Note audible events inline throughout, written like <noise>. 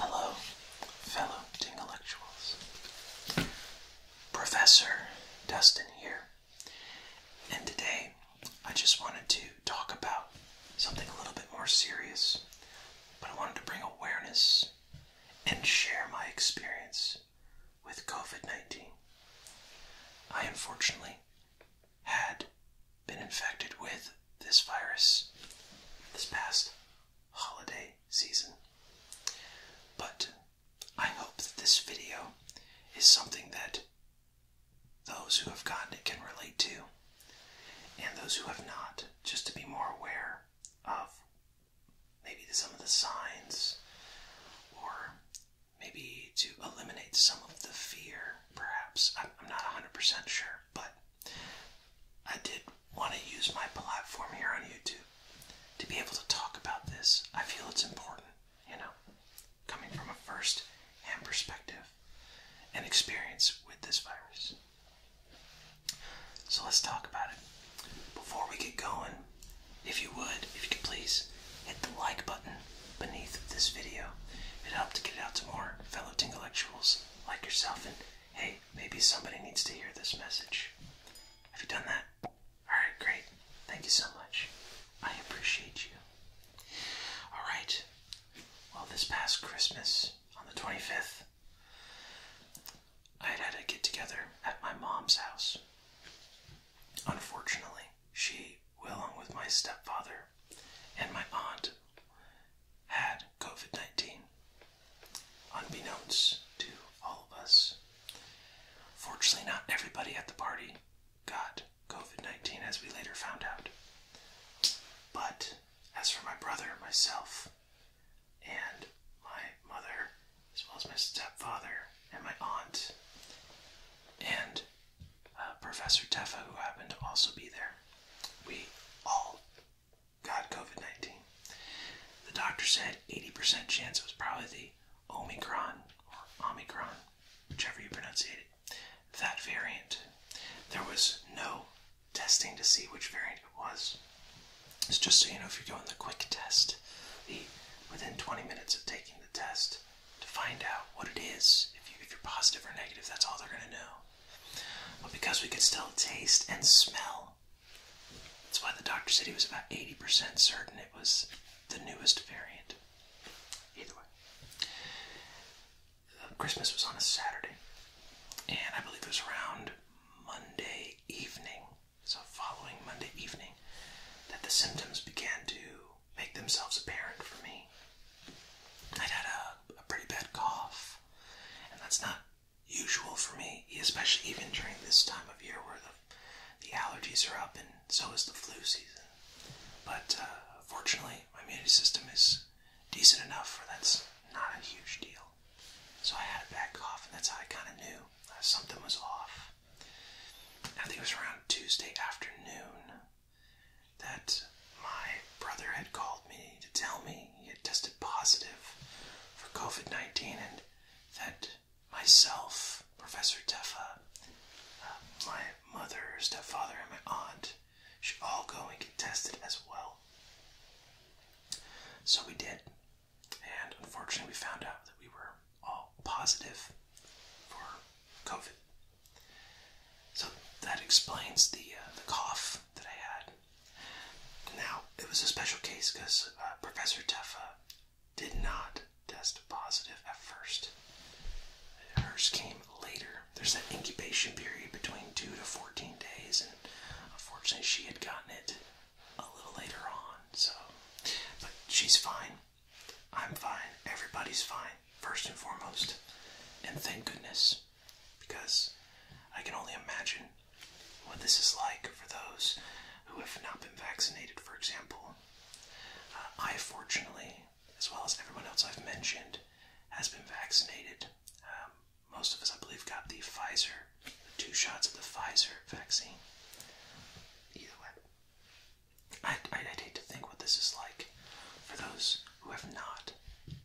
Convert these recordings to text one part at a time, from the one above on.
Hello, fellow intellectuals. Professor Dustin here, and today I just wanted to talk about something a little bit more serious, but I wanted to bring awareness and share my experience with COVID 19. I unfortunately had been infected with this virus this past holiday season. But I hope that this video is something that those who have gotten it can relate to, and those who have not, just to be more aware of maybe some of the signs, or maybe to eliminate some of the fear, perhaps. I'm not 100% sure, but I did want to use my platform here on YouTube to be able to talk about this. I feel it's important, you know, coming from a first hand perspective. And experience with this virus. So let's talk about it. Before we get going, if you would, if you could please hit the like button beneath this video. It helps to get it out to more fellow intellectuals like yourself and hey, maybe somebody needs to hear this message. Have you done that? Alright, great. Thank you so much. I appreciate you. Alright, well, this past Christmas, on the 25th, I had had a get together at my mom's house. Unfortunately, she, along with my stepfather and my aunt, had COVID 19. Unbeknownst to all of us. Fortunately, not everybody at the party got COVID 19, as we later found out. But as for my brother, myself, and my mother, as well as my stepfather, and my aunt, and uh, Professor Teffa, who happened to also be there, we all got COVID 19. The doctor said 80% chance it was probably the Omicron or Omicron, whichever you pronounce it that variant. There was no testing to see which variant it was. It's just so you know if you're doing the quick test, the within 20 minutes of taking the test to find out what it is. if you're positive or negative, that's all they're going to know. But because we could still taste and smell, that's why the doctor said he was about 80% certain it was the newest variant. Either way, uh, Christmas was on a Saturday, and I believe it was around Monday evening, so following Monday evening, that the symptoms began to make themselves apparent for me. I'd had a, pretty bad cough, and that's not usual for me, especially even during this time of year where the the allergies are up, and so is the flu season. But uh, fortunately, my immunity system is decent enough for that's not a huge deal. So I had a bad cough, and that's how I kind of knew uh, something was off. I think it was around Tuesday afternoon that my brother had called me to tell me he had tested positive for COVID 19 and that myself, Professor Teffa, um, my mother, stepfather, and my aunt should all go and get tested as well. So we did, and unfortunately, we found out that we were all positive for COVID. So that explains the uh, the cough that I had. Now it was a special case because uh, Professor Teffa did not test positive at first. Hers came later. There's that incubation period between 2 to 14 days, and unfortunately, she had gotten it a little later on. So, but she's fine. I'm fine. Everybody's fine, first and foremost. And thank goodness, because I can only imagine what this is like for those who have not been vaccinated, for example, uh, I, fortunately, as well as everyone else I've mentioned, has been vaccinated. Um, most of us, I believe, got the Pfizer, two shots of the Pfizer vaccine. Either way, I, i hate to think what this is like for those who have not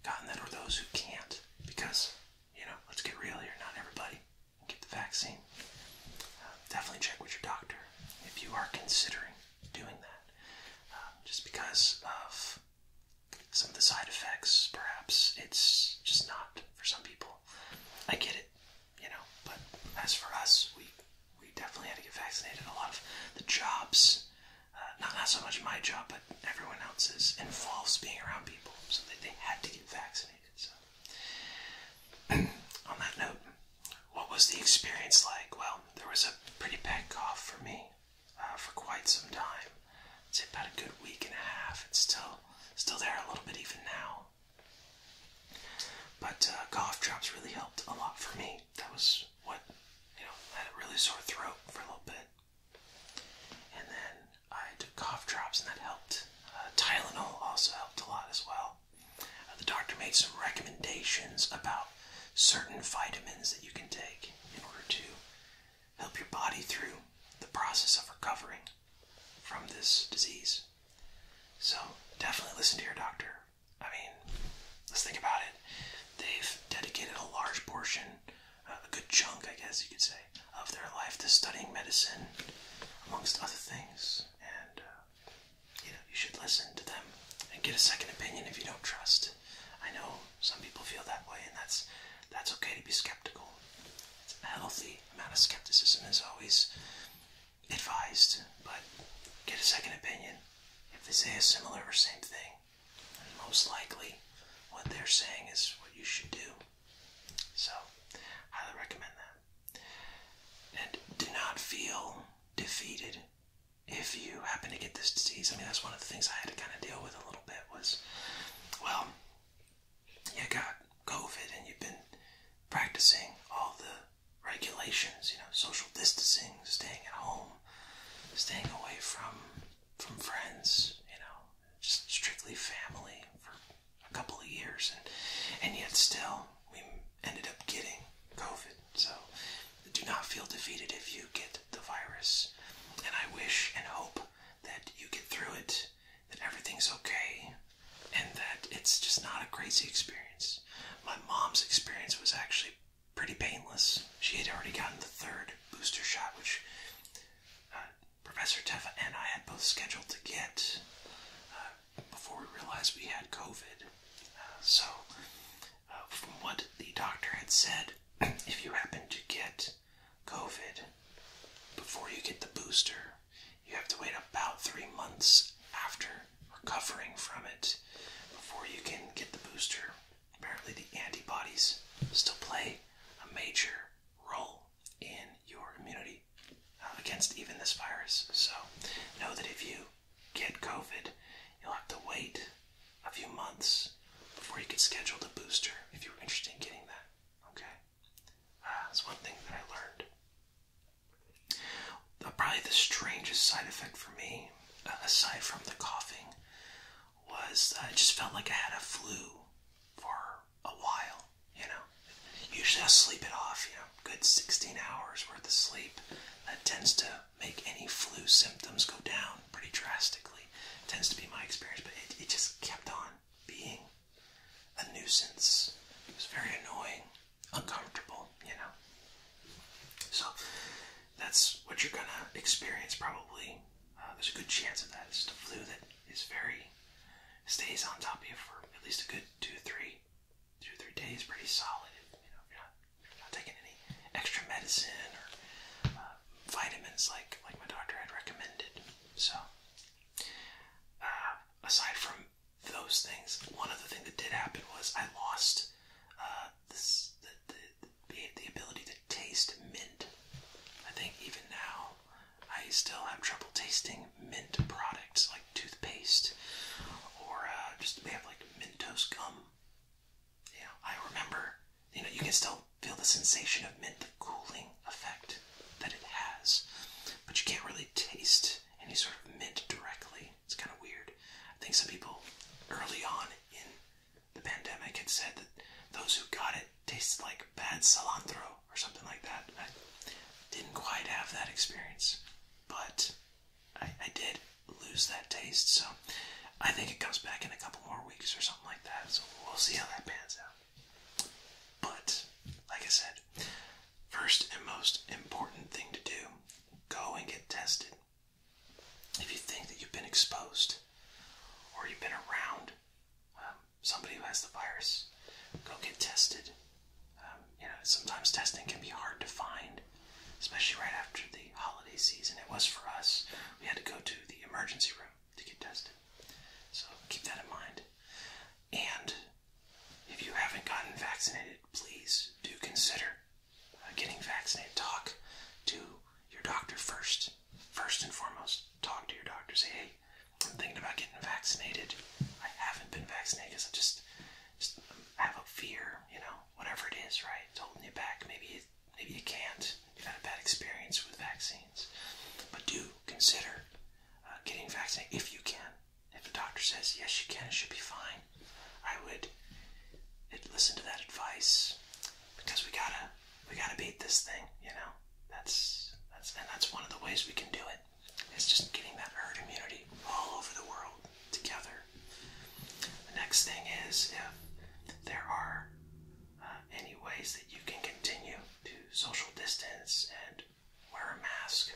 gotten that or those who can't, because, you know, let's get real here, not everybody get the vaccine. Uh, definitely check with your doctor if you are considering doing that. Um, just because of some of the side effects, perhaps it's just not for some people. I get it, you know, but as for us, we we definitely had to get vaccinated. A lot of the jobs, uh, not not so much my job, but everyone else's, involves being around people, so that they had to get vaccinated. <clears throat> on that note, what was the experience like? Well, there was a pretty bad cough for me uh, for quite some time. It's about a good week and a half. It's still still there a little bit even now. But uh, cough drops really helped a lot for me. That was what you know. had a really sore throat for a little bit, and then I took cough drops, and that helped uh, Tylenol also helped a lot as well. Uh, the doctor made some recommendations about certain vitamins that you can take in order to help your body through the process of recovering from this disease. So, definitely listen to your doctor. I mean, let's think about it. They've dedicated a large portion, uh, a good chunk, I guess you could say, of their life to studying medicine, amongst other things. And uh, you know, you should listen to them and get a second opinion if you don't trust. I know some people feel that way, and that's that's okay to be skeptical. It's a healthy amount of skepticism is always advised, but get a second opinion. If they say a similar or same thing, then most likely what they're saying is what you should do. So, highly recommend that. And do not feel defeated if you happen to get this disease. I mean, that's one of the things I had to kind of deal with a little bit was, well, you got COVID and you've been practicing all the regulations, you know, social distancing, staying at home, staying away from from friends, you know, just strictly family for a couple of years, and and yet still we ended up getting COVID. So do not feel defeated if you get the virus, and I wish and hope that you get through it, that everything's okay, and that it's just not a crazy experience. My mom's experience was actually pretty painless. She had already gotten the third booster shot, which uh, Professor Teffa and I had both scheduled to get uh, before we realized we had COVID. Uh, so, uh, from what the doctor had said, <clears throat> if you happen to get COVID before you get the booster, you have to wait about three months after recovering from it before you can get the booster. Apparently, the antibodies still play a major role in your immunity uh, against even this virus. So know that if you get COVID, you'll have to wait a few months before you can schedule the booster if you're interested in getting that. Okay, uh, that's one thing that I learned. Uh, probably the strangest side effect for me, aside from the coughing, was I just felt like I had a flu for a while, you know. Usually I sleep it off, you know, good 16 hours worth of sleep. That tends to make any flu symptoms go down pretty drastically. It tends to be my experience, but it just kept on being a nuisance. It was very annoying, uncomfortable, you know. So that's what you're gonna experience probably uh, there's a good chance of that. It's just a flu that is very stays on top of you for at least a good two, three, two, three days. Pretty solid. You know, not, taking any extra medicine or uh, vitamins like like my doctor had recommended. So, uh, aside from those things, one other thing that did happen was I lost the, the ability to taste mint. I think even now, I still have trouble tasting mint products like toothpaste or uh, just they have like Mentos gum. Yeah, I remember. You know, you can still feel the sensation of mint, the cooling effect that it has, but you can't really taste any sort of mint directly. It's kind of weird. I think some people early on in the pandemic had said that those who got it tasted like bad cilantro or something like that. I didn't quite have that experience, but I, did lose that taste. So I think it comes back in a couple more weeks or something like that. So we'll see how that pans out. But like I said, first and most important thing to do go and get tested. If you think that you've been exposed or you've been around um, somebody who has the virus, go get tested. Um, you know, sometimes testing can be hard to find, especially right after the holiday season. It was for us. We had to go to the emergency room to get tested. So keep that in mind. And if you haven't gotten vaccinated, please do consider uh, getting vaccinated. Talk to your doctor first First and foremost, talk to your doctor. Say, hey, I'm thinking about getting vaccinated. I haven't been vaccinated because I just, um, have a fear, you know, whatever it is, right? It's holding you back. Maybe, maybe you can't. You've had a bad experience with vaccines. But do consider uh, getting vaccinated if you can. If a doctor says, yes, you can, it should be fine, I would eh, listen to that advice because we gotta we gotta beat this thing, you know? That's that's and that's one of the ways we can do it. It's just getting that herd immunity all over the world together. The next thing is if there are uh, any ways that you can continue to social distance and wear a mask,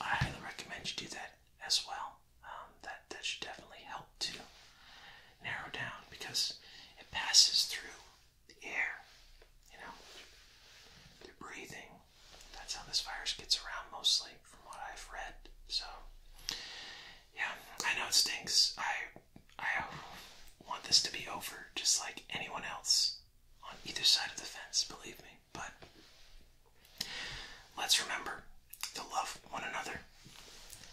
I highly recommend you do that as well. Um, that that should definitely help to narrow down because it passes through the air, you know, through breathing. That's how this virus gets around mostly, from what I've read. So, yeah, I know it stinks. I I want this to be over, just like anyone else on either side of the fence. Believe me, but. Let's remember to love one another.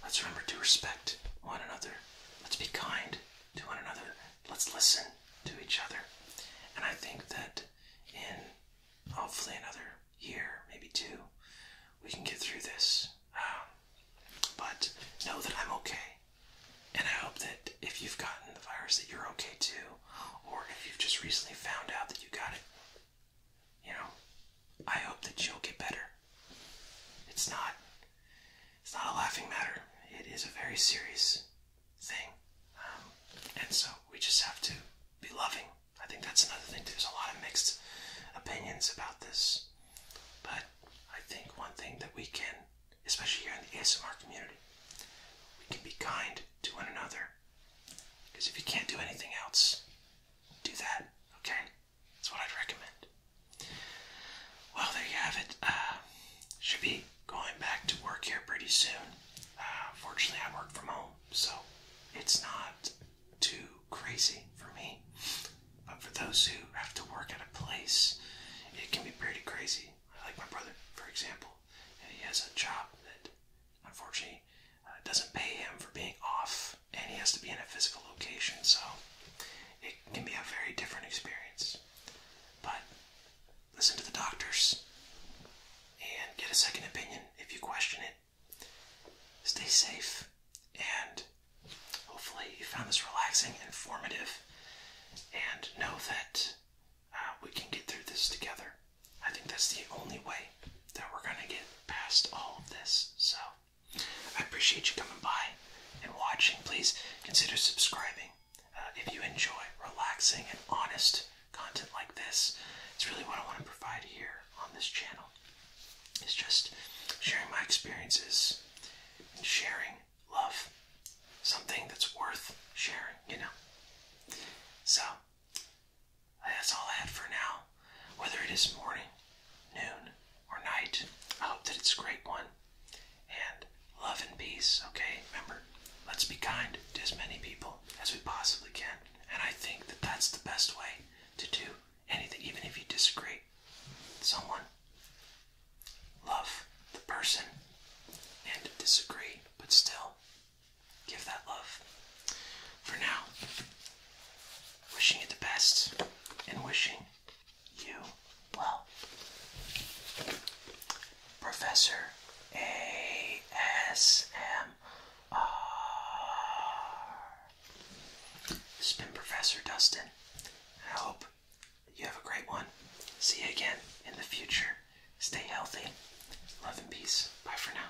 Let's remember to respect one another. Let's be kind to one another. Let's listen to each other. And I think that in hopefully another year, maybe two, we can get through this. Um, but know that I'm okay. And I hope that if you've gotten the virus, that you're okay too. Or if you've just recently found out that you got it, you know, I hope that you'll get better. It's not it's not a laughing matter. It is a very serious thing. Um, and so we just have to be loving. I think that's another thing. There's a lot of mixed opinions about this. But I think one thing that we can, especially here in the ASMR community, we can be kind to one another. Because if you can't do anything else, do that, okay? That's what I'd recommend. Well, there you have it. Uh, should be going back to work here pretty soon. Uh, fortunately, I work from home, so it's not too crazy for me. But for those who have to work at a place, it can be pretty crazy. Like my brother, for example, he has a job that unfortunately uh, doesn't pay him for being off, and he has to be in a physical location, so it can be a very different experience. But listen to the doctors and get a second opinion if you question it. Stay safe, and hopefully, you found this relaxing, informative, and know that uh, we can get through this together. I think that's the only way that we're gonna get past all of this. So I appreciate you coming by and watching. Please consider subscribing uh, if you enjoy relaxing and honest content like this. It's really what I want to provide here on this channel. It's just sharing my experiences and sharing love. Something that's worth sharing, you know. So that's all I had for now. Whether it is morning, noon, or night, I hope that it's a great one. And love and peace, okay? Remember, let's be kind to as many people as we possibly can. And I think that that's the best way to do anything, even if you disagree with someone. Love the person and disagree, but still give that love. For now, wishing you the best and wishing you well. Professor ASMR. This has been Professor Dustin. I hope you have a great one. See you again in the future. Stay healthy. Love and peace. Bye for now.